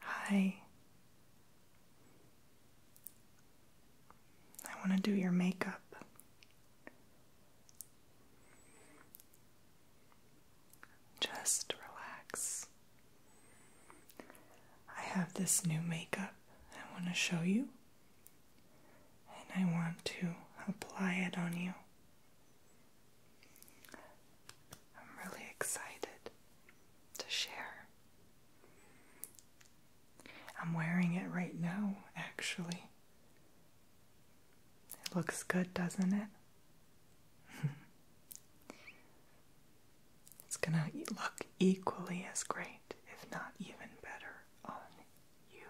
Hi. I want to do your makeup. Just relax. I have this new makeup I want to show you, and I want to apply it on you. I'm really excited to share. I'm wearing it right now, actually. It looks good, doesn't it? it's gonna look equally as great, if not even better, on you.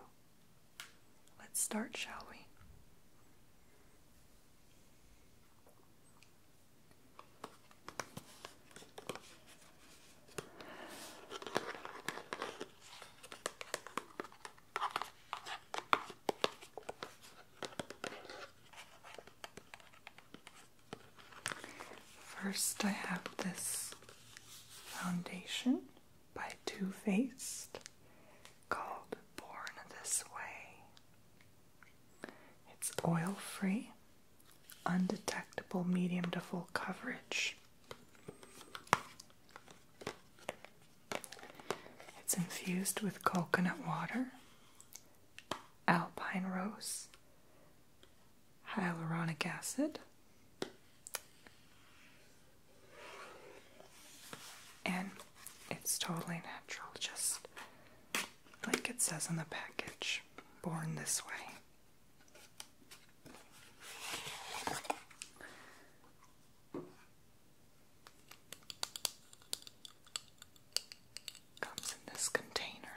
Let's start, shall we? First, I have this foundation by Too Faced called Born This Way. It's oil free, undetectable medium to full coverage. It's infused with coconut water, alpine rose, hyaluronic acid, and it's totally natural, just like it says on the package born this way. Comes in this container.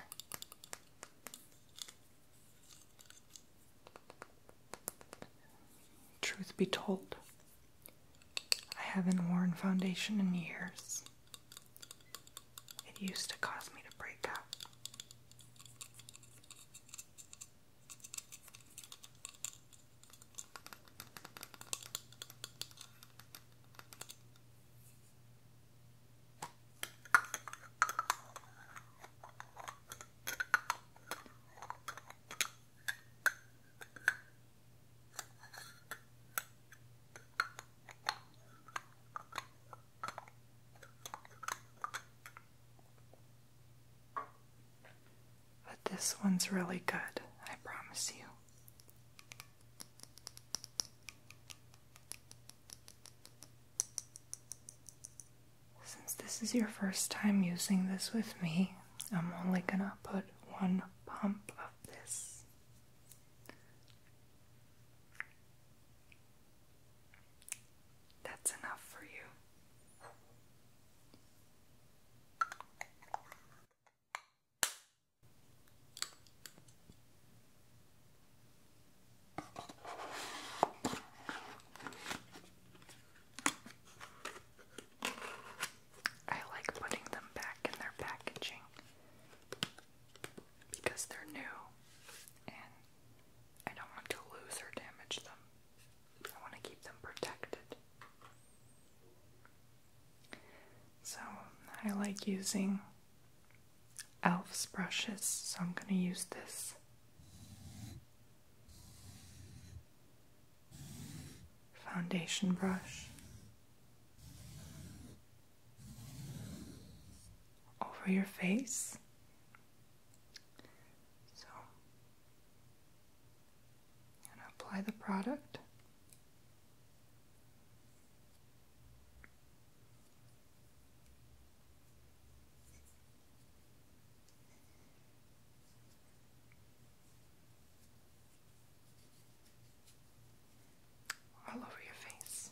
Truth be told, I haven't worn foundation in years. It used to cause me to break out. But this one's really good, I promise you. Since this is your first time using this with me, I'm only gonna put one pump of this. That's enough for you. I like putting them back in their packaging because they're new and I don't want to lose or damage them. I want to keep them protected. So I like using Elf's brushes, so I'm going to use this foundation brush over your face. So, and apply the product all over your face.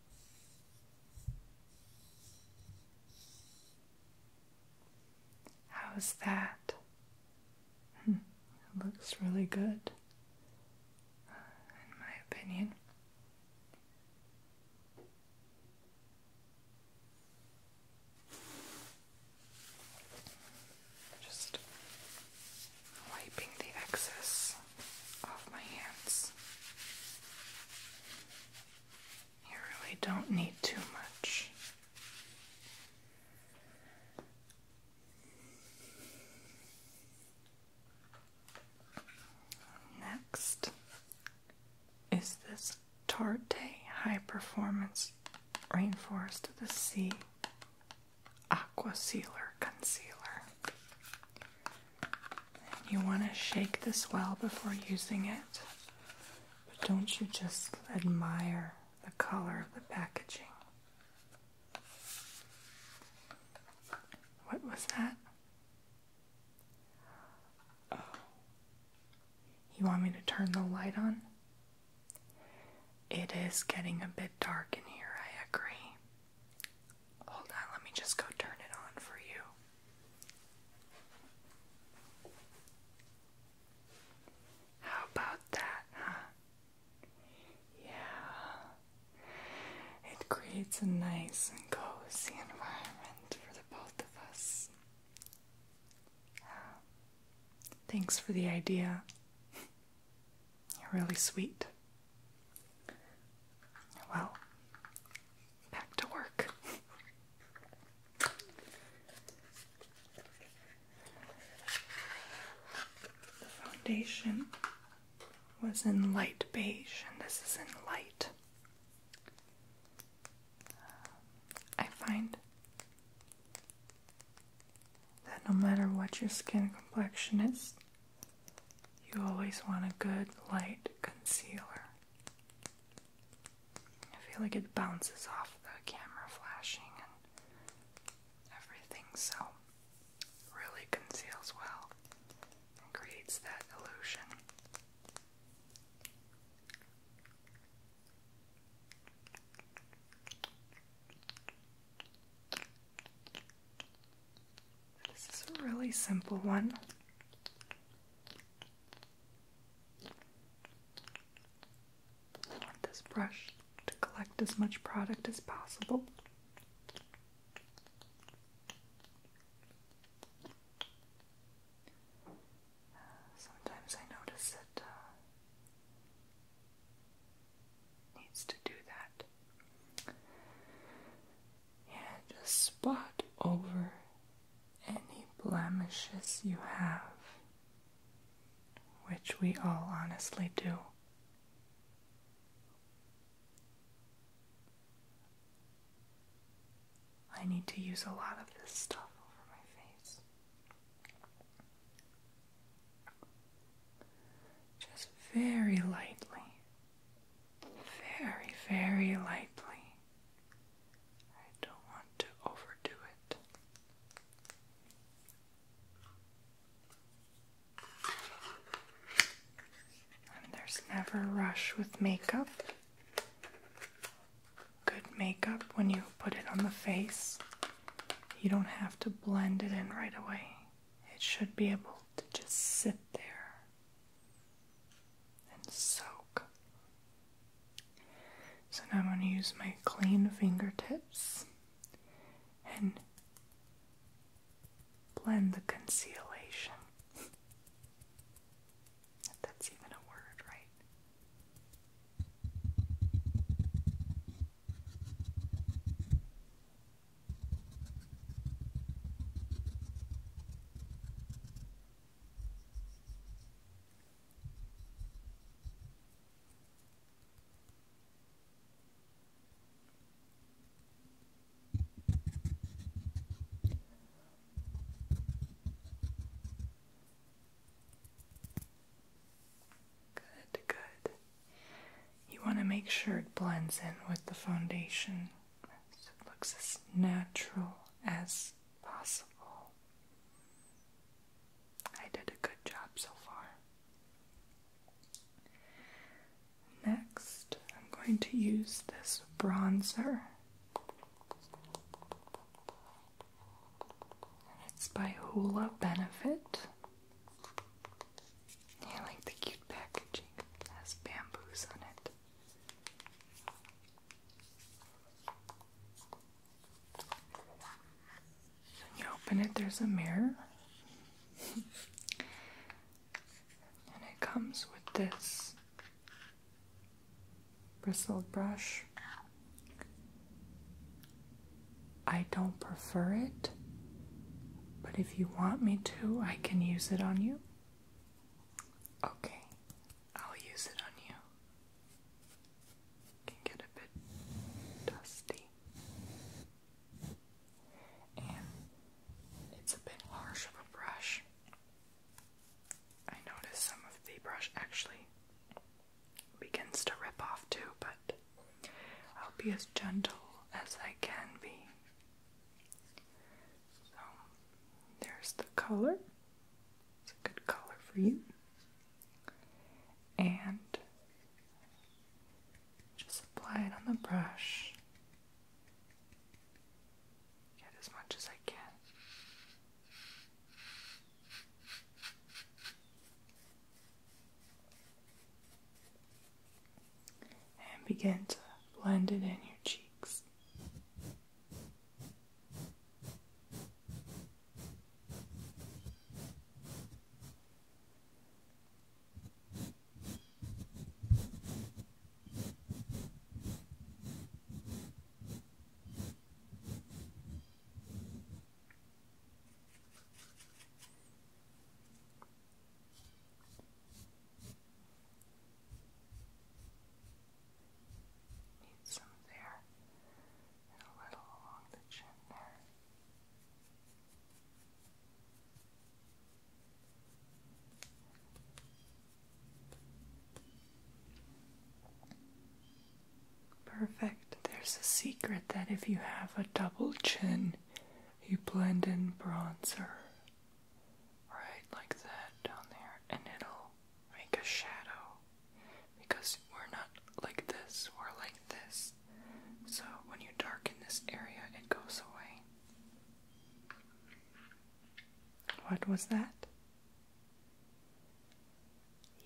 How's that? Hmm, looks really good, in my opinion. Just wiping the excess off my hands. You really don't need too much. Next is this Tarte High Performance Rainforest of the Sea Aqua Sealer Concealer you want to shake this well before using it. But don't you just admire the color of the packaging? What was that? Oh. You want me to turn the light on? It is getting a bit dark in here, I agree. Hold on, let me just go turn it on for you. How about that, huh? Yeah. It creates a nice and cozy environment for the both of us. thanks for the idea. You're really sweet. Well, back to work. The foundation was in light beige, and this is in light. I find that no matter what your skin complexion is, you always want a good light concealer. I feel like it bounces off the camera flashing and everything, so really conceals well and creates that illusion. This is a really simple one. I want this brush to collect as much product as possible. Sometimes I notice it uh, needs to do that and just spot over any blemishes you have, which we all honestly do. I need to use a lot of this stuff over my face. Just very lightly very, very lightly. I don't want to overdo it. And there's never a rush with makeup. Good makeup, when you put it on the face, you don't have to blend it in right away. It should be able to just sit there and soak. So now I'm going to use my clean fingertips and blend the concealation. if that's even a word, right? Good, good. You want to make sure it blends in with the foundation looks as natural as possible. I did a good job so far. Next, I'm going to use this bronzer. it's by Hoola Benefit. I like the cute packaging. It has bamboos on it. When you open it, there's a mirror, and it comes with this bristled brush. I don't prefer it, but if you want me to, I can use it on you. Okay, I'll use it on you. Can get a bit dusty, and it's a bit harsh of a brush. I notice some of the brush actually begins to rip off too, but I'll be as gentle as I can be. So there's the color. It's a good color for you. And just apply it on the brush. Get as much as I can and begin to blend it in your cheeks. Need some there and a little along the chin there. Perfect. There's a secret that if you have a double chin, you blend in bronzer right like that down there, and it'll make a shadow because we're not like this, we're like this. So when you darken this area, it goes away. What was that?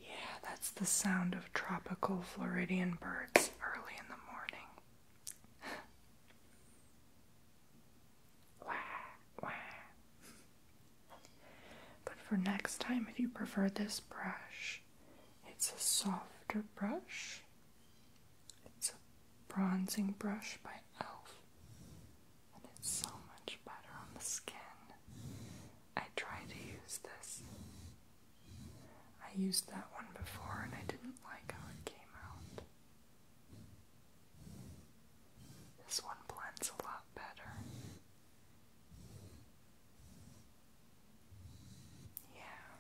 Yeah, that's the sound of tropical Floridian birds early in the morning. But for next time, if you prefer this brush, it's a softer brush. It's a bronzing brush by e.l.f. and it's so much better on the skin. I tried to use this. I used that one before and I didn't like how it came out. This one blends a lot better. Yeah.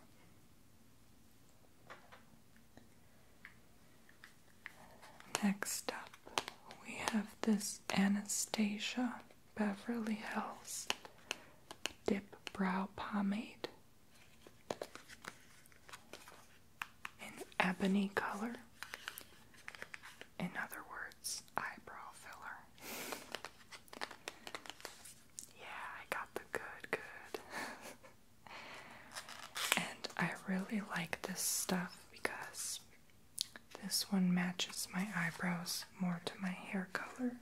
Next up, we have this Anastasia Beverly Hills Dip Brow Pomade. An ebony color. In other words, eyebrow filler. yeah, I got the good, good. and I really like this stuff because this one matches my eyebrows more to my hair color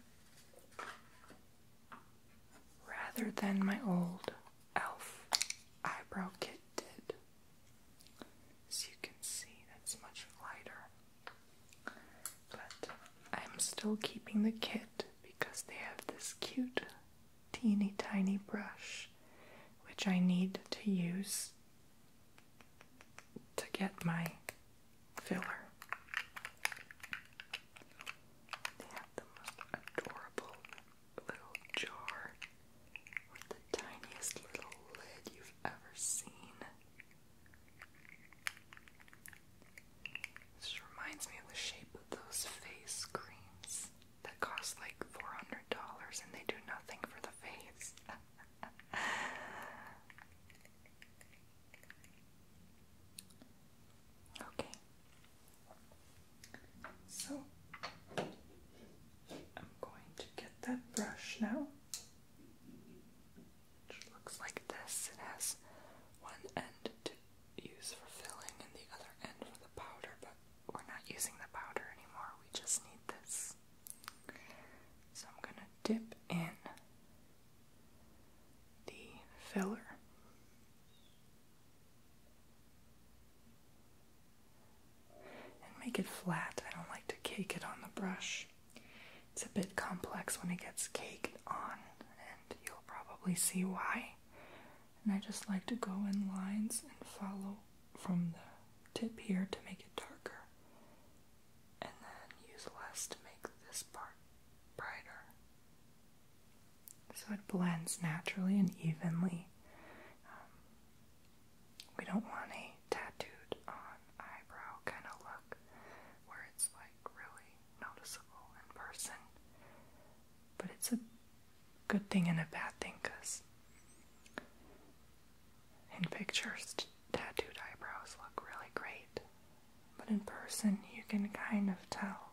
rather than my old e.l.f. eyebrow kit did. As you can see, that's much lighter. But I'm still keeping the kit because they have this cute teeny tiny brush which I need to use to get my filler. They have the most adorable little jar with the tiniest little lid you've ever seen. This reminds me of the shape of those face creams that cost like $400 and they do nothing for the face. Okay. So I'm going to get that brush now. looks like this. It has one end to use for filling and the other end for the powder, but we're not using the powder anymore. We just need this. So I'm going to dip in the filler. And make it flat. I don't like to cake it on the brush. It's a bit complex when it gets caked on, and you'll probably see why. And I just like to go in lines and follow from the tip here to make it darker, and then use less to make this part brighter so it blends naturally and evenly. Um, we don't want a tattooed on eyebrow kind of look where it's like really noticeable in person. But it's a good thing and a bad thing because in pictures, tattooed eyebrows look really great. But in person, you can kind of tell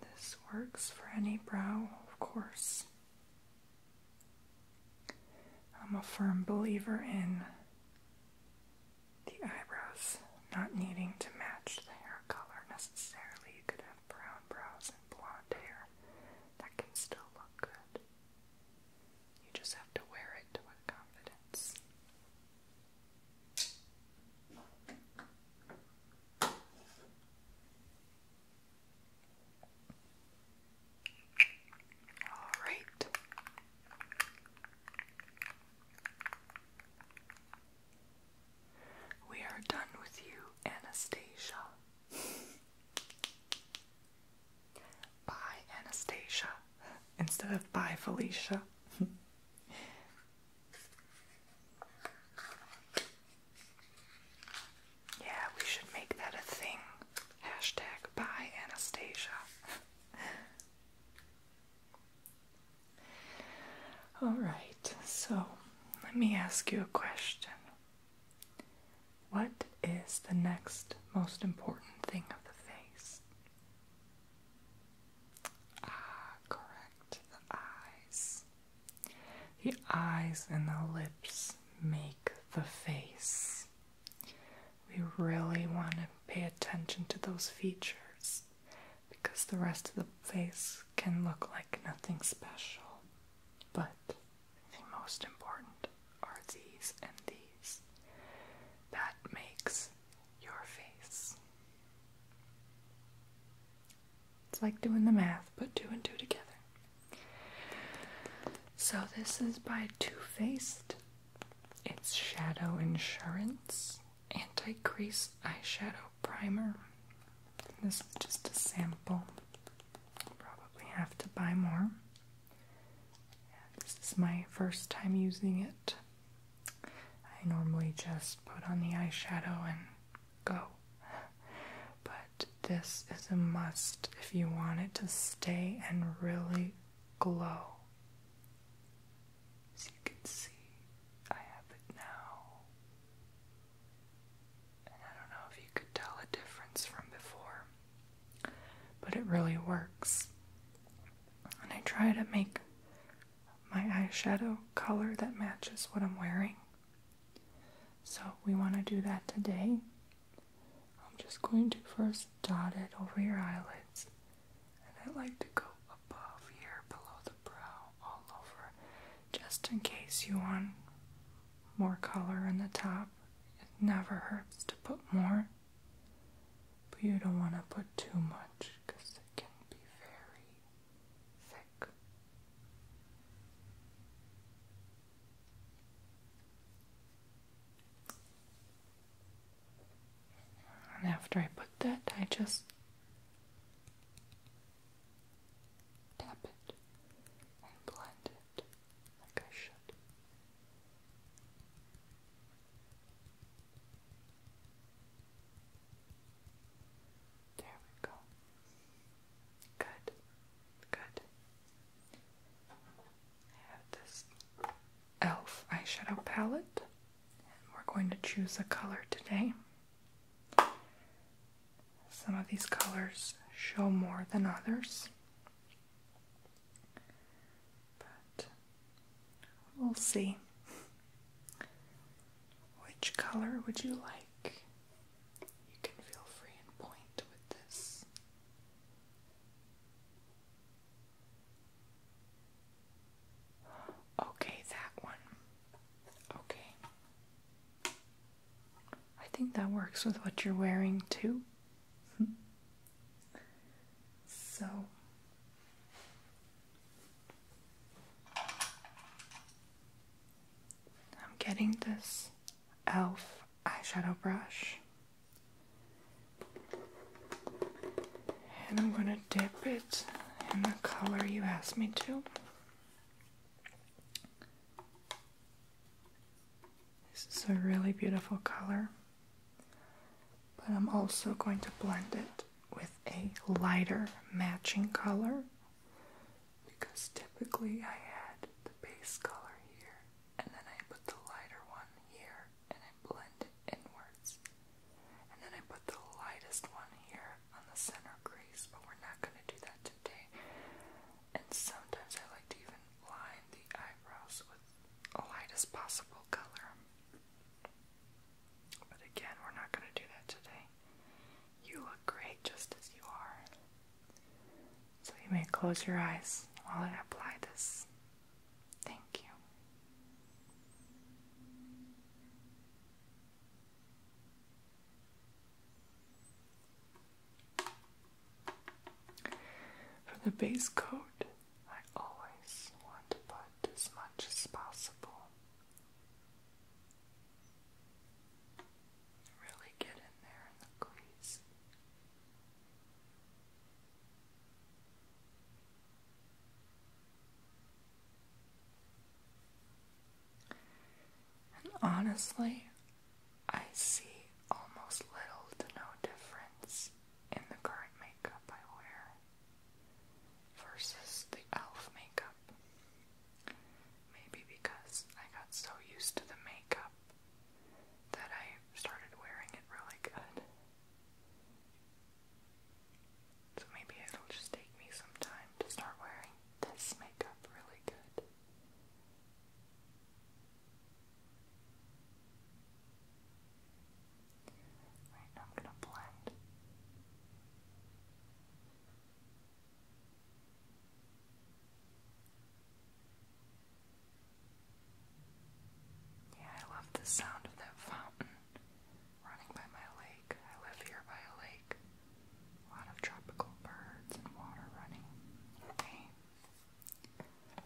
And this works for any brow, of course. I'm a firm believer in the eyebrows not needing to match the hair color necessarily. You could have brown brows and blonde hair that can still look good. You just have to wear it with confidence. All right. We are done with you, Anastasia by Anastasia instead of by Felicia. yeah, we should make that a thing. Hashtag by Anastasia. All right, so let me ask you a question. What is the next most important thing of the face? Ah, correct. The eyes. The eyes and the lips make the face. We really want to pay attention to those features because the rest of the face can look like nothing special. But the most important are these and these. That makes your face. It's like doing the math, put two and two together. So, this is by Too Faced. It's Shadow Insurance Anti Crease Eyeshadow primer. This is just a sample. I'll probably have to buy more. this is my first time using it. I normally just put on the eyeshadow and go. But this is a must if you want it to stay and really glow. As you can see, I have it now. I don't know if you could tell a difference from before, but it really works. And I try to make my eyeshadow color that matches what I'm wearing. So we want to do that today. I'm just going to first dot it over your eyelids, and I like to go above here below the brow all over just in case you want more color in the top. It never hurts to put more, but you don't want to put too much because it can be very thick. And after I put that, I just tap it, and blend it like I should. There we go. Good, good. I have this e.l.f. eyeshadow palette, and we're going to choose a color today. Some of these colors show more than others. But we'll see. Which color would you like? You can feel free and point with this. Okay, that one. Okay. I think that works with what you're wearing too. so I'm getting this e.l.f. eyeshadow brush. And I'm going to dip it in the color you asked me to. This is a really beautiful color, but I'm also going to blend it with a lighter matching color because typically I add the base color here and then I put the lighter one here and I blend it inwards, and then I put the lightest one here on the center crease, but we're not going to do that today. And sometimes I like to even line the eyebrows with a lightest possible color. But again, we're not going to do that today. You look great just as you are. So you may close your eyes while I apply this. Thank you. For the base coat, I always want to put as much as possible. Really get in there in the crease. And honestly, I see almost little to no difference in the current makeup I wear versus the e.l.f. makeup. Maybe because I got so used to the makeup that I started wearing it really good. So maybe it'll just take me some time to start wearing this makeup really good. Right, now I'm gonna blend. Yeah, I love the sound of that fountain running by my lake. I live here by a lake. A lot of tropical birds and water running. Okay.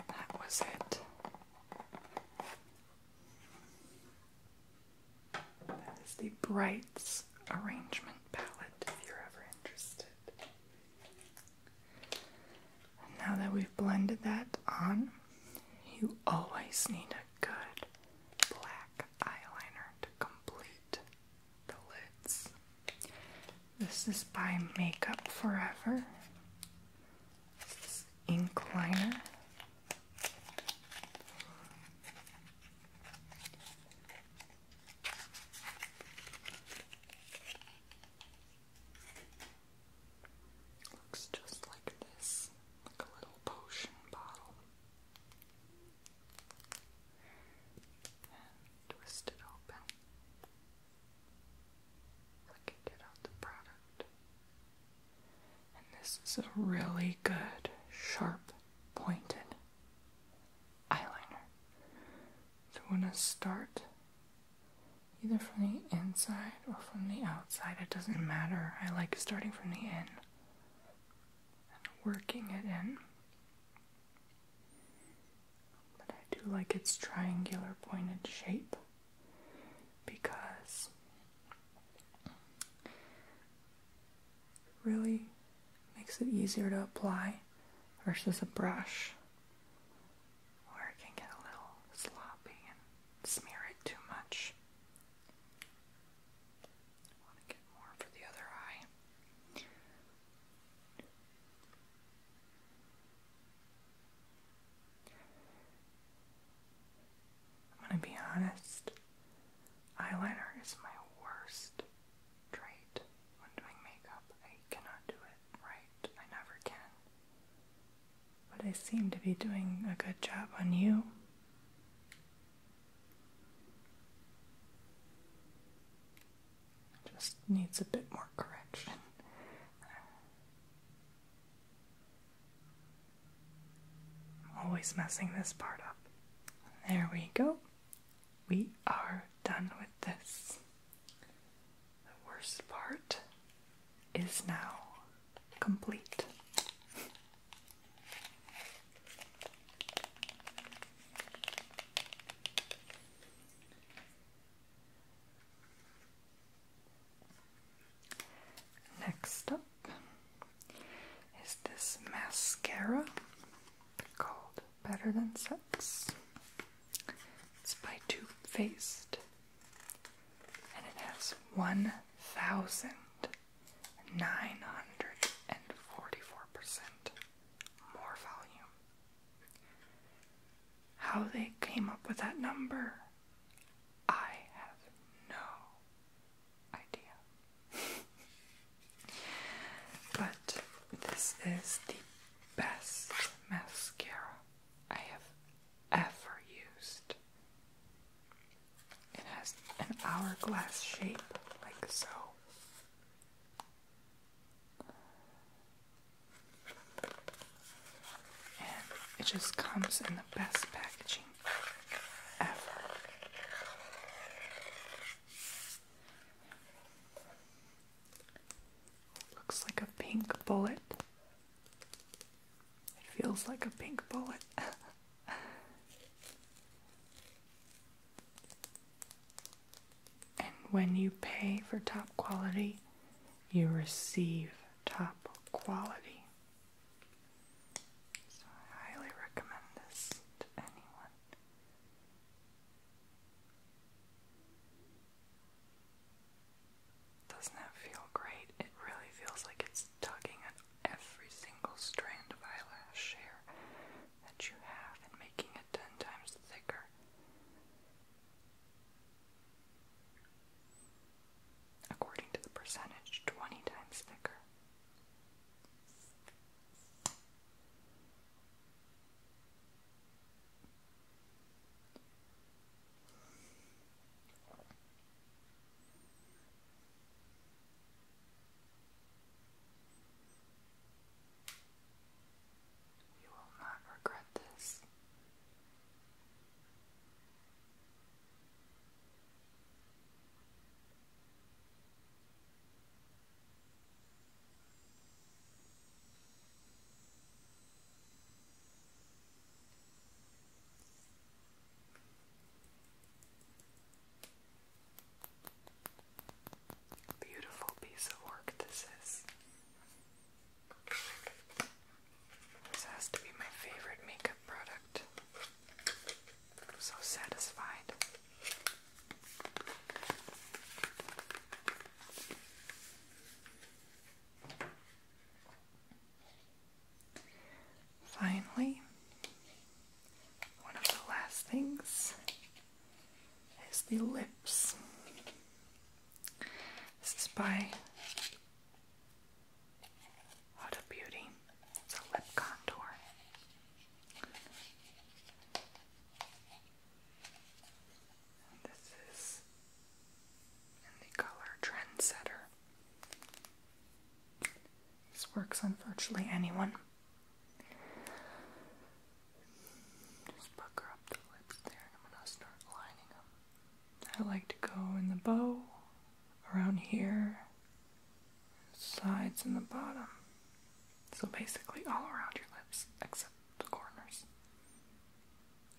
That was it. That is the Brights Arrangement Palette if you're ever interested. now that we've blended that on, you always need a good black eyeliner to complete the lids. This is by Makeup Forever. This is ink liner. Looks just like this, a little potion bottle twist it open so I can get out the product. And this is a really good, sharp, pointed eyeliner. So I'm to start either from the inside or from the outside, it doesn't matter. I like starting from the in and working it in. But I do like its triangular pointed shape because really makes it easier to apply versus a brush where it can get a little sloppy and smear it too much. I want to get more for the other eye. I'm going to be honest, eyeliner is my worst trait when doing makeup. I cannot do it right, I never can. But I seem to be doing a good job on you just needs a bit more correction. I'm always messing this part up. There we go. We are done with this. The worst part is now complete. Next up is this mascara called Better Than Sex. It's by Too Faced and it has 1,000 more volume. How they came up with that number, I have no idea. but this is the best mascara I have ever used. It has an hourglass shape, like so. And it just comes in the best packaging ever. Looks like a pink bullet. It feels like a pink bullet. and when you pay for top quality, you receive top quality. So I highly recommend this to anyone. Doesn't that feel great? It really feels like it's tugging every single strand of eyelash hair that you have and making it ten times thicker. According to the percentage, 20 times thicker. You will not regret this. Beautiful piece of work this is. This has to be my favorite makeup product. so satisfied. Finally, one of the last things is the lips. This is by Huda Beauty. It's a lip contour. this is in the color Trendsetter. This works on virtually anyone. Just pucker up the lips there, and I'm gonna start lining them. I like to go in the bow, around here, sides and the bottom. So basically all around your lips, except the corners.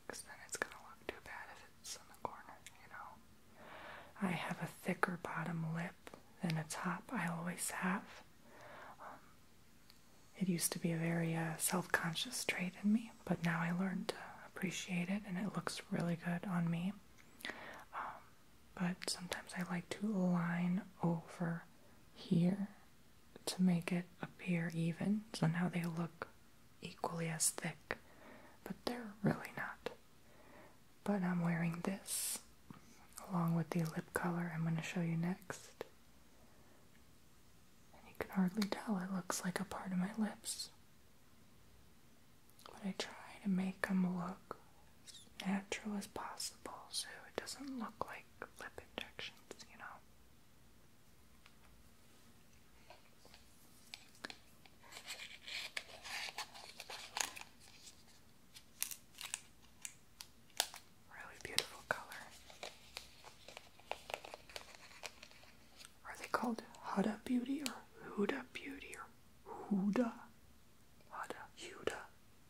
Because then it's gonna look too bad if it's in the corner, you know? I have a thicker bottom lip than a top I always have. Um, it used to be a very uh, self conscious trait in me, but now I learned to appreciate it and it looks really good on me. Um, but sometimes I like to line over here to make it appear even, so now they look equally as thick, but they're really not. But I'm wearing this along with the lip color I'm going to show you next. And you can hardly tell it looks like a part of my lips. But I try to make them look natural as possible so it doesn't look like lip injections, you know. Really beautiful color. Are they called Huda Beauty or Huda Beauty or Huda? Huda,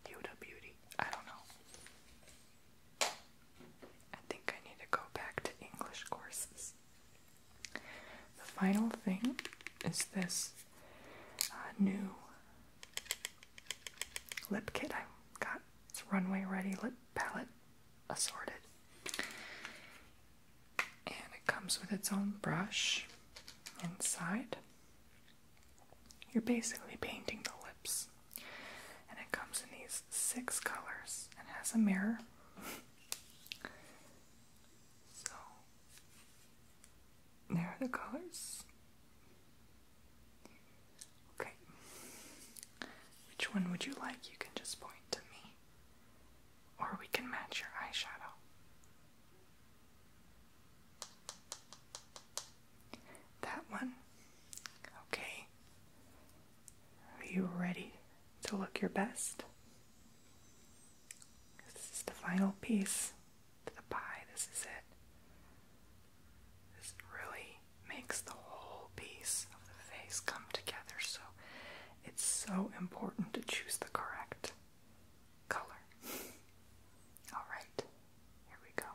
Huda, Beauty. I don't know. I think I need to go back to English courses. The final thing is this uh, new lip kit I got. It's Runway Ready Lip Palette Assorted. And it comes with its own brush inside. You're basically painting the lips. And it comes in these six colors and has a mirror. so there are the colors. Okay. Which one would you like? You can just point to me. Or we can match your eyeshadow. That one. Okay. Are you ready to look your best? This is the final piece to the pie. This is it. This really makes the whole piece of the face come together, so it's so important to choose the correct color. Alright, here we go.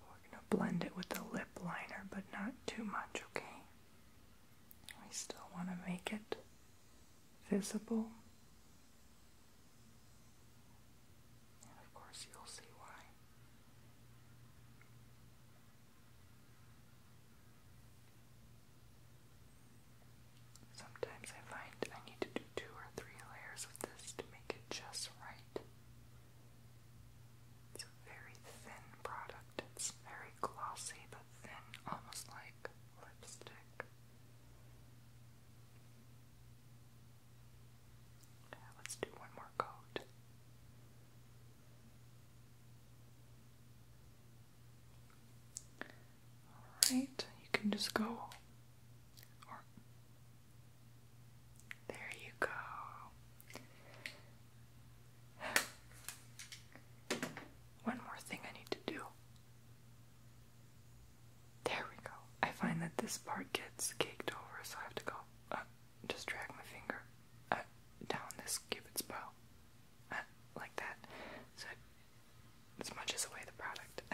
We're going to blend it with the lip liner, but not too much, okay? We still want to make it visible. of course, you'll see why. Sometimes I find I need to do two or three layers of this to make it just right very thin product. It's very glossy but thin, almost like lipstick. Okay, let's do one more coat. Alright, you can just go. there you go. One more thing I need to do. There we go. I find that this part gets caked over, so I have to go uh, just drag my finger uh, down this cupid's bow uh, like that, so it smudges away the product.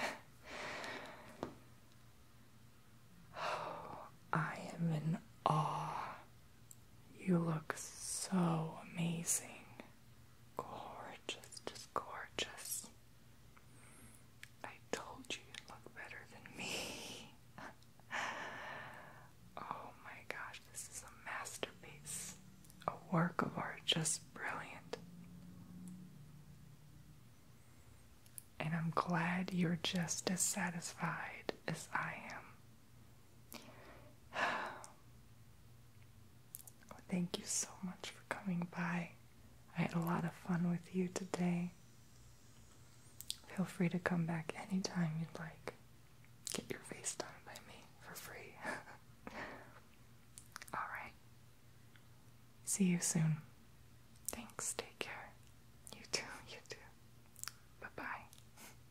Oh, I am in awe you look so amazing. Gorgeous, just gorgeous. I told you you look better than me. oh my gosh, this is a masterpiece. A work of art, just brilliant. And I'm glad you're just as satisfied as I am. Oh, thank you so much for coming by. I had a lot of fun with you today. Feel free to come back anytime you'd like. Get your face done by me for free. Alright. See you soon. Thanks. Take care. You too. You too. Bye bye.